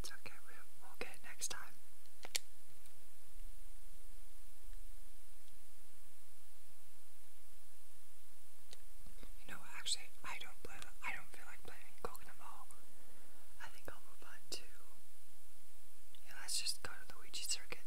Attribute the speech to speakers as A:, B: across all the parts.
A: It's okay, we'll, get next time. You know, actually, I don't play. I don't feel like playing coconut ball. I think I'll move on to. Yeah, let's just go to Luigi Circuit.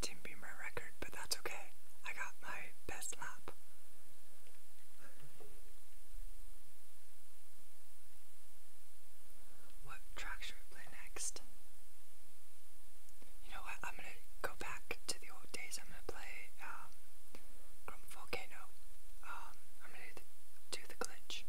A: Didn't record, but that's okay. I got my best lap. What track should we play next? You know what? I'm gonna go back to the old days. I'm gonna play um, Grum Volcano. Um, I'm gonna do the glitch.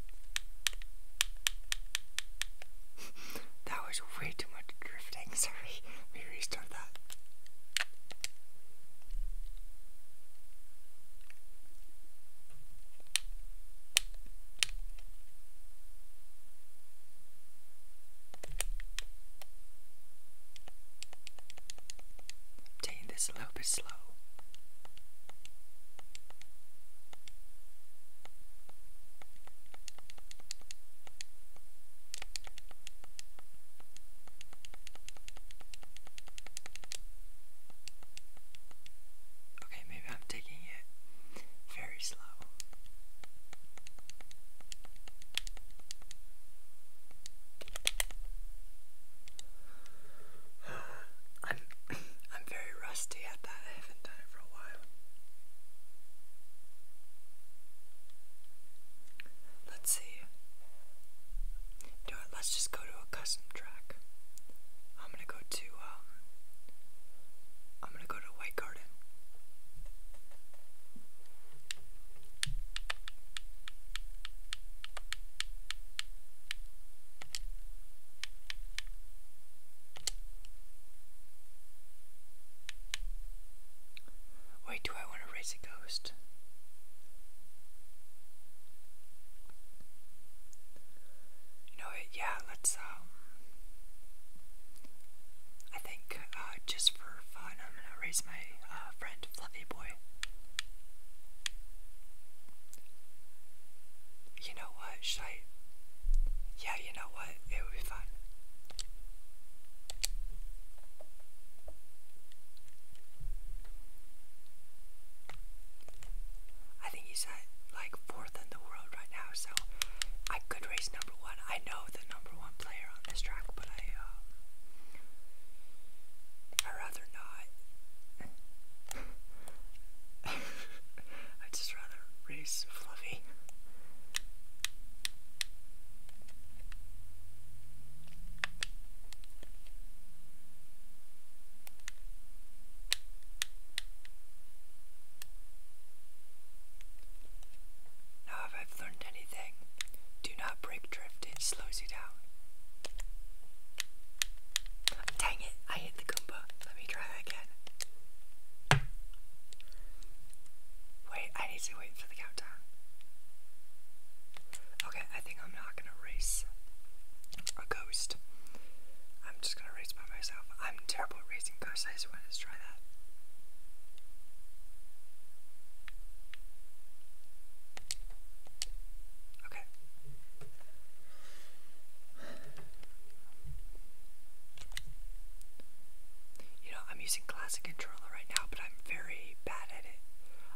A: that was way too much drifting. Sorry, we restart that. i this Okay, maybe I'm taking it very slow. I'm I'm very rusty at that. I haven't done it for a while. Let's see. Do it. Let's just go to a custom track. I'm gonna go to um, I'm gonna go to White Garden. Wait, do I want to raise a ghost? You know what? Yeah, let's, um. I think, uh, just for fun, I'm gonna raise my uh, friend Fluffy Boy. You know what? Should I? Yeah, you know what? It would be fun. I think he's at like fourth in the world right now, so I could race number one. I know the number one player on this track, but I, um, i rather I'd just rather race Fluffy. Now, if I've learned anything, do not break drift, it slows you down. Dang it, I hit the Goomba. Let me try that again. Wait, I need to wait for the countdown. Okay, I think I'm not gonna race a ghost. I'm just gonna race by myself. I'm terrible at racing ghosts, I just try that. Okay. You know, I'm using classic controller right now, but I'm very bad at it.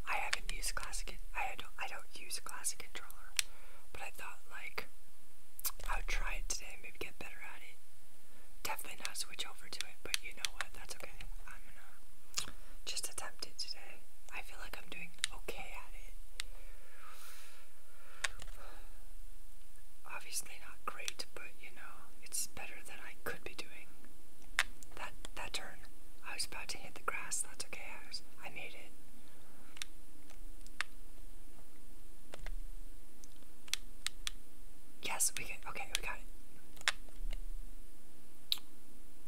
A: I haven't used classic. I don't. I don't use classic controller, but I thought like I would try it today, and maybe get better at it. Definitely not switch over to it, but you know what? That's okay. Just attempted today. I feel like I'm doing okay at it. Obviously not great, but you know, it's better than I could be doing. That that turn, I was about to hit the grass. That's okay. I was, I made it. Yes, we can. Okay, we got it.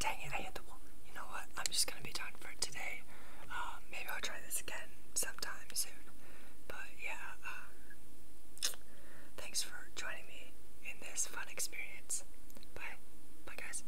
A: Dang it, I hit the wall. You know what? I'm just gonna be done for today. Um, maybe I'll try this again sometime soon. But yeah, um, thanks for joining me in this fun experience. Bye. Bye, guys.